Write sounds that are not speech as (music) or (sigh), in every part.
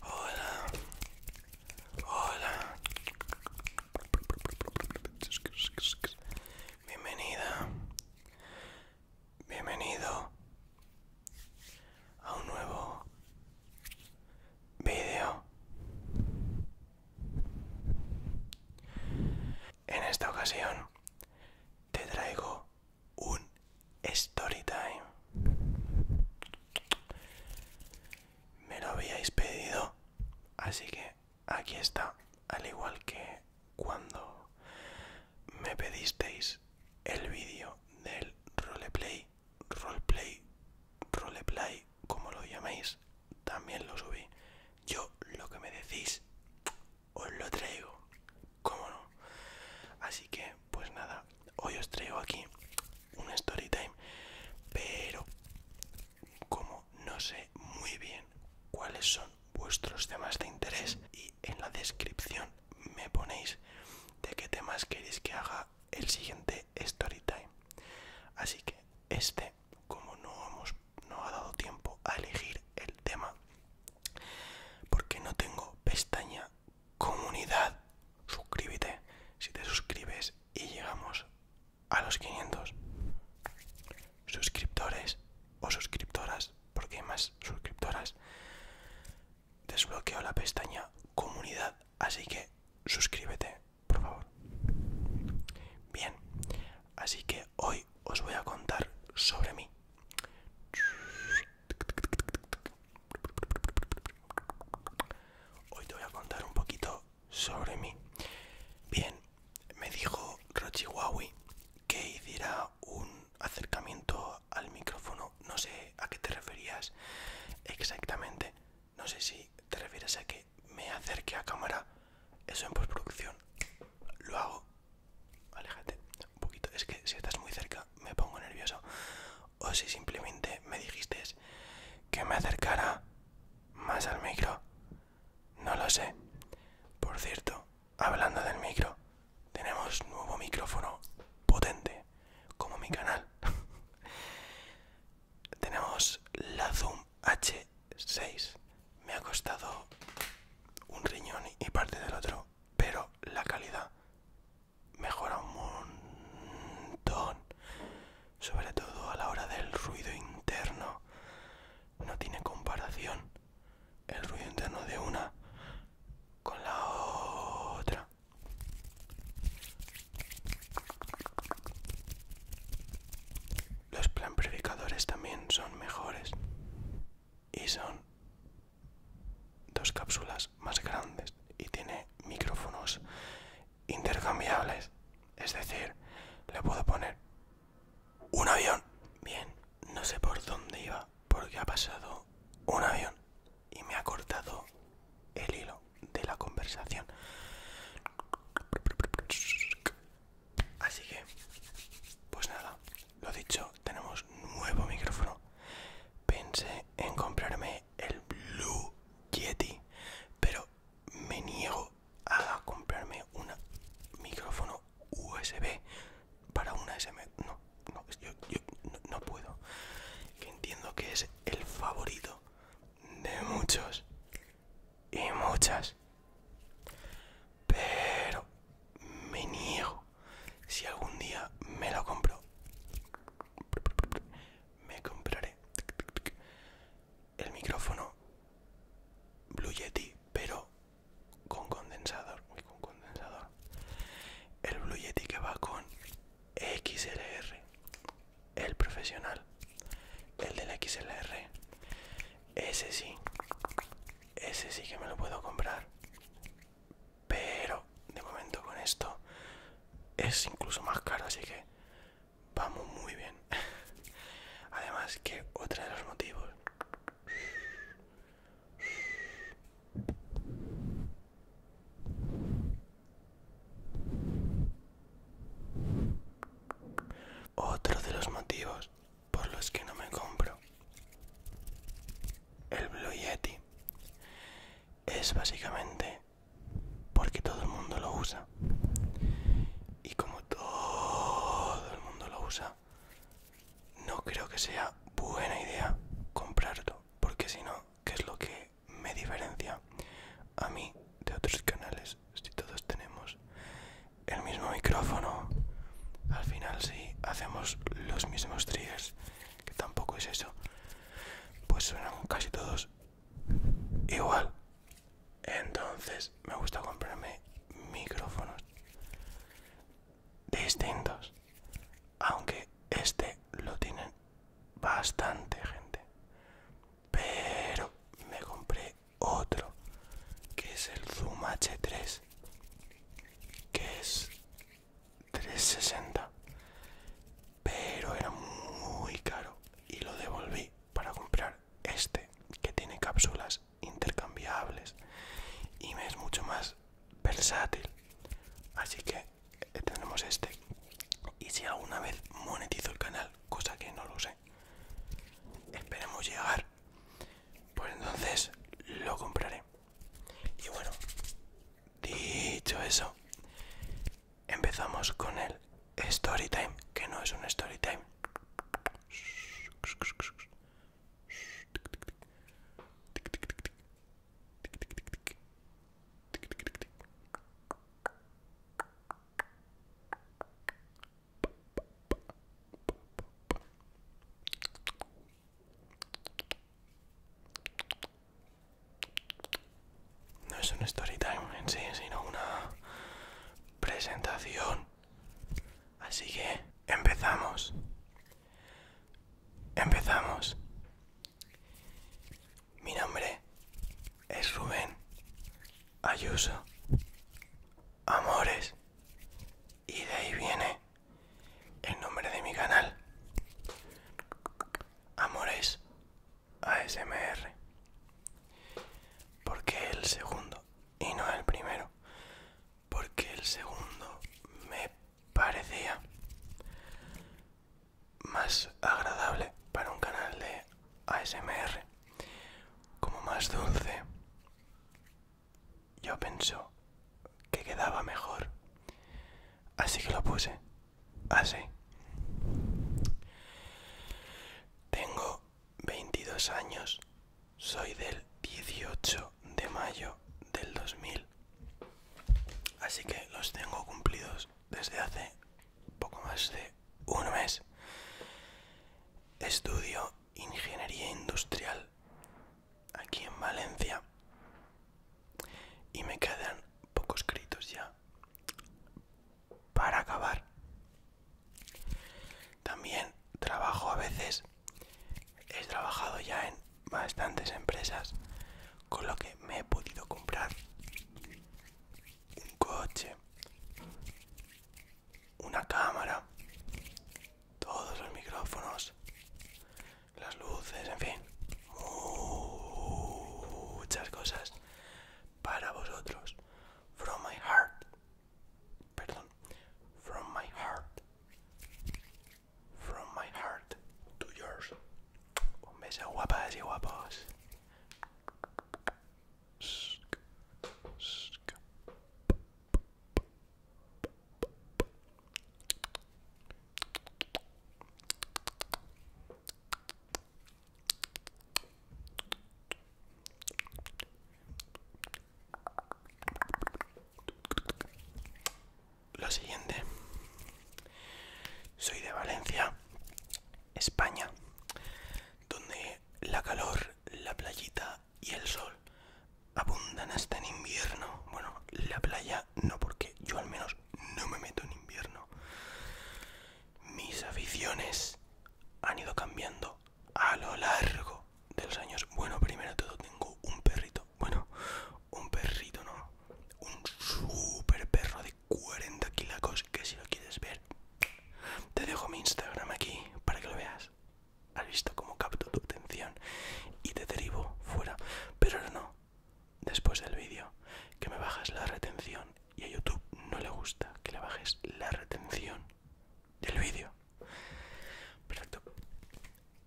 Hola. Hola. Bienvenida. Bienvenido a un nuevo vídeo. En esta ocasión te traigo un story time. Me lo habíais pedido, así que aquí está, al igual que cuando me pedisteis el vídeo del roleplay, roleplay, roleplay, como lo llaméis, también lo subí. Yo lo que me decís os lo traigo, cómo no. Así que, pues nada, hoy os traigo aquí un story time, pero como no sé muy bien cuáles son vuestros temas de interés y en la descripción me ponéis de qué temas queréis que haga el siguiente story time. Así que este, como no hemos no ha dado tiempo a elegir el tema, porque no tengo pestaña comunidad. Suscríbete si te suscribes y llegamos a los 500 suscriptores o suscriptoras, porque hay más suscriptoras. Desbloqueo la pestaña comunidad, así que suscríbete, por favor. Bien, así que hoy os voy a contar sobre mí. Hoy te voy a contar un poquito sobre mí. Bien, me dijo Rochi Huawei que hiciera un acercamiento al micrófono. No sé a qué te referías exactamente. No sé si te refieres a que me acerque a cámara. Eso en postproducción lo hago aléjate un poquito. Es que si estás muy cerca me pongo nervioso. O si simplemente me dijiste que me acercara más al micro. No lo sé. Por cierto, hablando del micro, tenemos nuevo micrófono potente, como mi canal. (laughs) tenemos la Zoom H6. Me ha costado un riñón y parte del otro pero la calidad mejora un montón sobre todo a la hora del ruido interno no tiene comparación el ruido interno de una con la otra los preamplificadores también son mejores y son dos cápsulas más grandes y tiene micrófonos intercambiables es decir le puedo poner un avión bien no sé por dónde iba porque ha pasado un avión y me ha cortado el hilo de la conversación así que pues nada lo dicho, tenemos nuevo micrófono. Pensé en comprarme el Blue Yeti, pero me niego a comprarme un micrófono USB para una SM. No, no, yo, no, no puedo. Que entiendo que es el favorito de muchos y muchas. Pero me niego si algún día me lo compro, me compraré el micrófono Blue Yeti, pero con condensador. El Blue Yeti que va con XLR, el profesional, el del XLR. Ese sí, ese sí que me lo puedo comprar. Pero de momento con esto es incluso más caro, así que vamos muy bien. (laughs) Además que otro de los motivos... Otro de los motivos por los que no me compro el Blue Yeti es básicamente porque todo el mundo lo usa y como todo el mundo lo usa no creo que sea buena idea comprarlo porque si no que es lo que me diferencia a mí de otros canales si todos tenemos el mismo micrófono. Al final si hacemos los mismos triggers, que tampoco es eso, pues suenan casi todos igual. Entonces me gusta comprarme micrófonos distintos. Aunque este lo tienen bastante gente. Pero me compré otro, que es el Zoom H3 que es 360 pero era muy caro y lo devolví para comprar este que tiene cápsulas intercambiables y me es mucho más versátil así que eh, tenemos este y si alguna vez monetizo el canal cosa que no lo sé esperemos llegar pues entonces lo compraré. Y bueno, dicho eso, empezamos con el story time, que no es un story time. No es un story time en sí, sino una presentación. Así que empezamos. Empezamos. Mi nombre es Rubén Ayuso. Amores y de ahí viene el nombre de mi canal Amores ASMR porque el segundo y no el primero porque el segundo me parecía más agradable para un canal de ASMR como más dulce yo pensó que quedaba mejor. Así que lo puse. Así. Tengo 22 años. Soy del 18 de mayo del 2000. Así que los tengo cumplidos desde hace poco más de un mes. Estudio ingeniería industrial aquí en Valencia y me quedan pocos créditos ya para acabar. También trabajo a veces, he trabajado ya en bastantes empresas, con lo que me he podido comprar un coche, una cámara, todos los micrófonos, las luces, en fin, muchas cosas para vosotros. From my heart. Perdón. From my heart. From my heart to yours. Un beso guapas y guapos. Lo siguiente, soy de Valencia, España, donde la calor, la playita y el sol abundan hasta en invierno. Bueno, la playa no, porque yo al menos no me meto en invierno. Mis aficiones han ido cambiando a lo largo de los años. Bueno, primero de todo tengo un perrito. Bueno, un perrito, ¿no? Un super perro de 40 kilacos que si lo quieres ver, te dejo mi Instagram aquí para que lo veas. Has visto cómo capto tu atención y te derivo fuera. Pero no, después del vídeo, que me bajas la retención y a YouTube no le gusta que le bajes la retención del vídeo. Perfecto.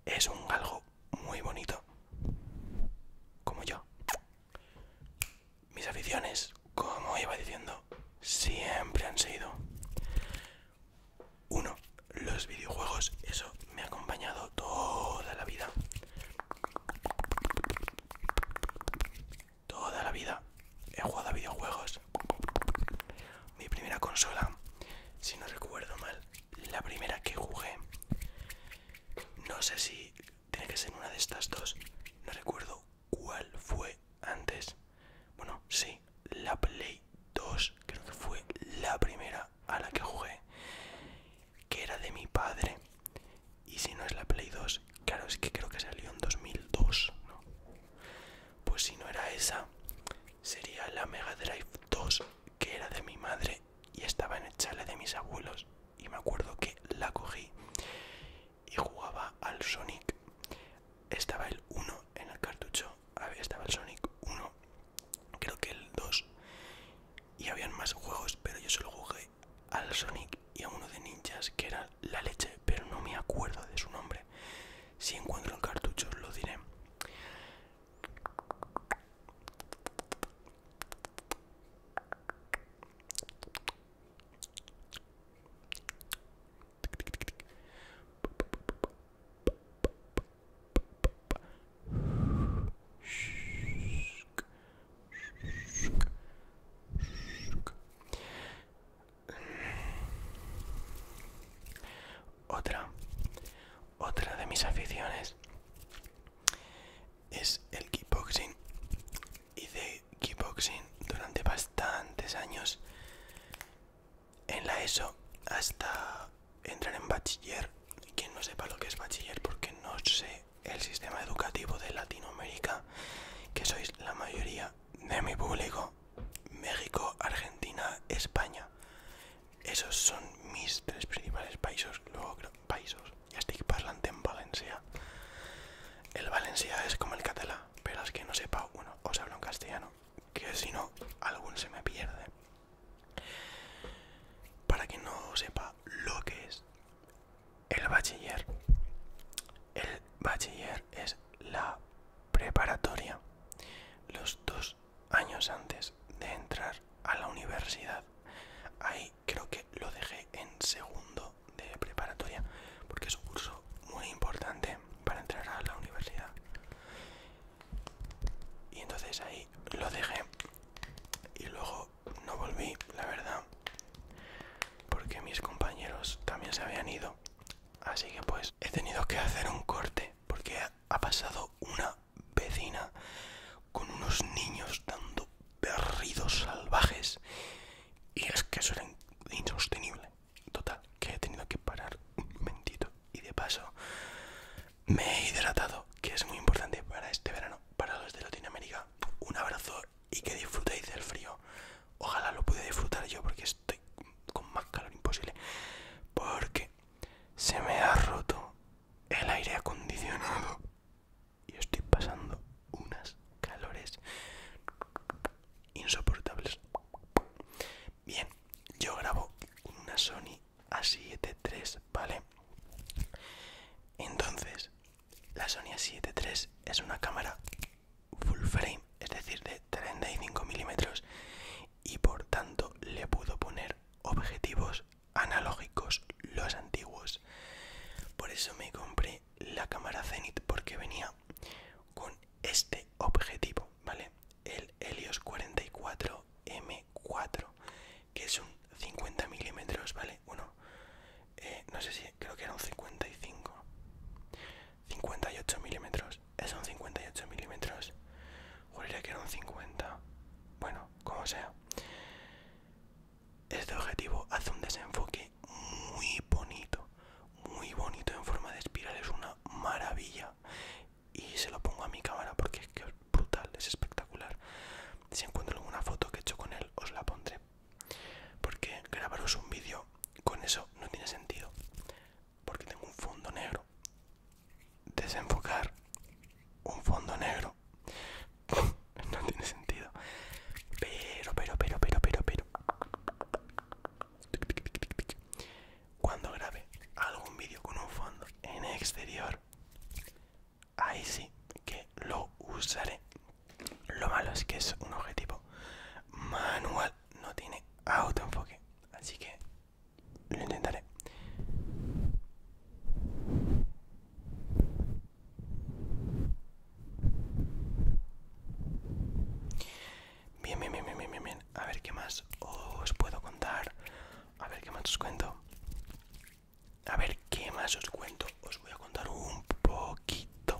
Es un galgo muy bonito. Como yo. Mis aficiones, como iba diciendo, siempre han sido uno, los videojuegos, eso me ha acompañado toda la vida. Toda la vida he jugado a videojuegos. Mi primera consola, si no recuerdo mal, la primera que jugué, no sé si tiene que ser una de estas dos, no recuerdo cuál fue antes. Bueno, sí, la Play 2 creo que fue la primera a la que jugué, que era de mi padre. Y si no es la Play 2, claro, es que creo que salió en 2002, ¿no? Pues si no era esa, sería la Mega Drive 2, que era de mi madre y estaba en el chale de mis abuelos. Y me acuerdo que la cogí y jugaba al Sonic. Estaba el 1 en el cartucho, había ah, estaba el Sonic 1, creo que el 2, y habían más juegos, pero yo solo jugué al Sonic y a uno de ninjas que era la leche, pero no me acuerdo de su nombre. Si encuentro el cartucho, lo diré. Otra, otra de mis aficiones es el kickboxing y de kickboxing durante bastantes años en la ESO hasta entrar en bachiller. Quien no sepa lo que es bachiller porque no sé el sistema educativo de Latinoamérica, que sois la mayoría de mi público, México, Argentina, España. Esos son mis tres principales países. Luego, países. Ya estoy parlante en Valencia. El Valencia es como el catalán pero es que no sepa uno, os hablo en castellano, que si no, algún se me pierde. Para que no sepa lo que es el bachiller, el bachiller es la preparatoria, los dos años antes de entrar a la universidad. Ahí creo que lo dejé en segundo de preparatoria porque es un curso muy importante para entrar a la universidad y entonces ahí lo dejé y luego no volví la verdad porque mis compañeros también se habían ido así que pues he tenido que hacer un corte porque ha pasado una vecina con unos niños dando berridos salvajes y es que eso era insostenible Total, que he tenido que parar un momentito. Y de paso, me he hidratado, que es muy importante para este verano, para los de Latinoamérica. Un abrazo y que disfrutéis del frío. Ojalá lo pude disfrutar yo porque estoy con más calor imposible. Porque se me ha roto el aire acondicionado. Y estoy pasando unas calores insoportables. Bien, yo grabo una Sony A7 III, ¿vale? Entonces, la Sony A7 III es una cámara full frame, es decir, de 35 milímetros, y por tanto le puedo poner objetivos analógicos, los antiguos. Por eso me compré la cámara Zenith, porque venía con este objetivo, ¿vale? El Helios 44M4, que es un 50 milímetros, ¿vale? Uno, eh, no sé si, creo que era un 55, 58 milímetros, es un 58 milímetros, juraría que era un 50, bueno, como sea. Este objetivo hace un desenfoque muy bonito, muy bonito en forma de espiral, es una maravilla. Y se lo pongo a mi cámara porque es que es brutal, es espectacular. Si encuentro alguna foto que he hecho con él, os la pondré. Porque grabaros un vídeo con eso no tiene sentido. Porque tengo un fondo negro. Desenfocar un fondo negro. (laughs) no tiene sentido. Pero, pero, pero, pero, pero, pero. Cuando grabe algún vídeo con un fondo en exterior, ahí sí que lo usaré. Lo malo es que es un objetivo manual, no tiene autoenfoque, así que lo intentaré. Bien, bien, bien, bien, bien, bien. A ver qué más os puedo contar. A ver qué más os cuento. A ver qué más os cuento. Os voy a contar un poquito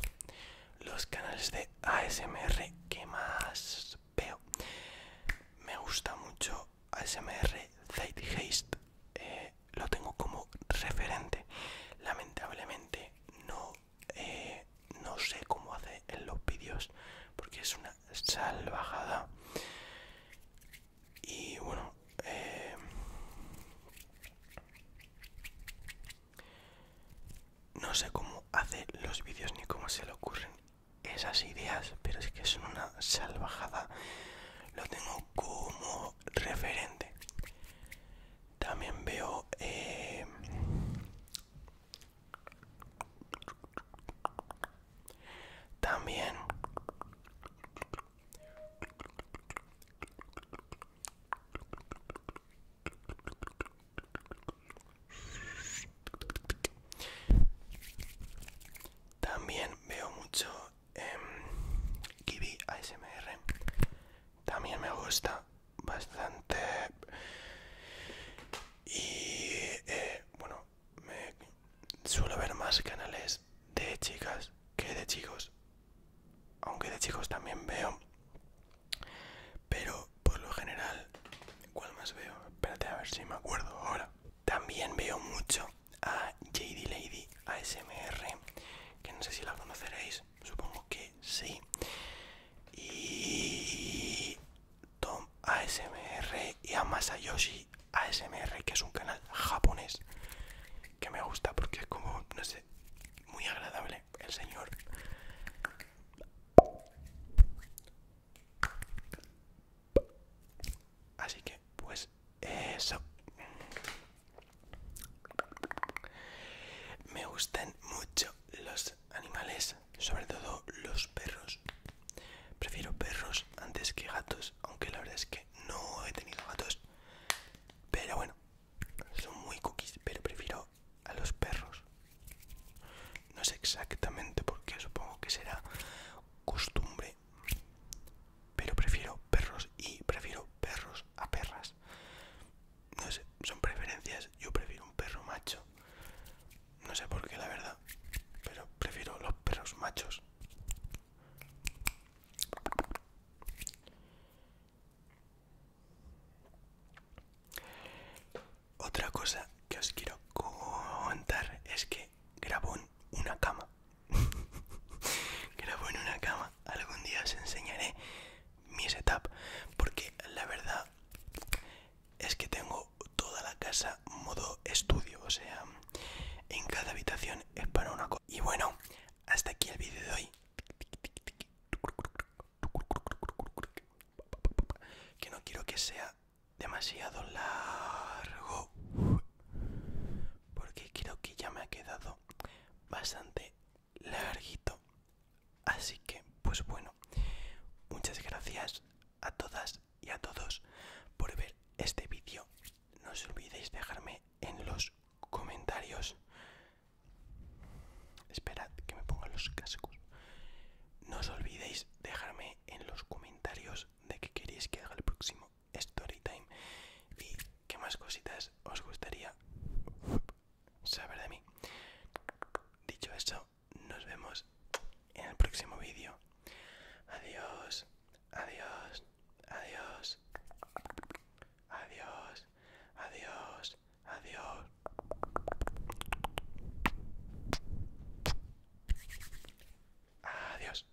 los canales de ASMR que más veo. Me gusta mucho ASMR Zeitgeist, eh, lo tengo como referente. Lamentablemente no, eh, no sé cómo hace en los vídeos porque es una salvajada. Y bueno, eh, no sé cómo hace los vídeos ni cómo se le ocurren esas ideas, pero es que es una salvajada. Lo tengo como referente. También veo eh, también también veo mucho eh, Kiwi ASMR también me gusta bastante y eh, bueno suelo ver más canales de chicas que de chicos aunque de chicos también veo pero por lo general cuál más veo espérate a ver si me acuerdo ahora también veo mucho a JD Lady ASMR que no sé si la conoceréis Supongo que sí. Y Tom ASMR y a Masayoshi ASMR, que es un canal japonés que me gusta porque es como, no sé, muy agradable el señor. Así que, pues eso. Me gustan mucho los animales, sobre todo los perros. Prefiero perros antes que gatos, aunque la verdad es que no he tenido gatos. Pero bueno, son muy cookies, pero prefiero a los perros. No sé exactamente por qué, supongo que será costumbre. Pero prefiero perros y prefiero perros a perras. No sé, son preferencias. Yo prefiero un perro macho. No sé por qué, la verdad. Pero prefiero los perros machos. Otra cosa que os quiero contar es que grabó una cama grabo (laughs) en una cama. Algún día os enseñaré mi setup. Porque la verdad es que tengo toda la casa modo estudio. O sea, en cada habitación es para una cosa. Y bueno, hasta aquí el vídeo de hoy. Que no quiero que sea demasiado largo. Porque creo que ya me ha quedado bastante larguito así que pues bueno muchas gracias a todas y a todos por ver este vídeo no os olvidéis dejarme en los comentarios esperad que me ponga los cascos no os olvidéis dejarme en los comentarios de que queréis que haga el próximo story time y qué más cositas os gustaría saber de mí. Dicho eso, nos vemos en el próximo vídeo. Adiós, adiós, adiós, adiós, adiós, adiós. Adiós.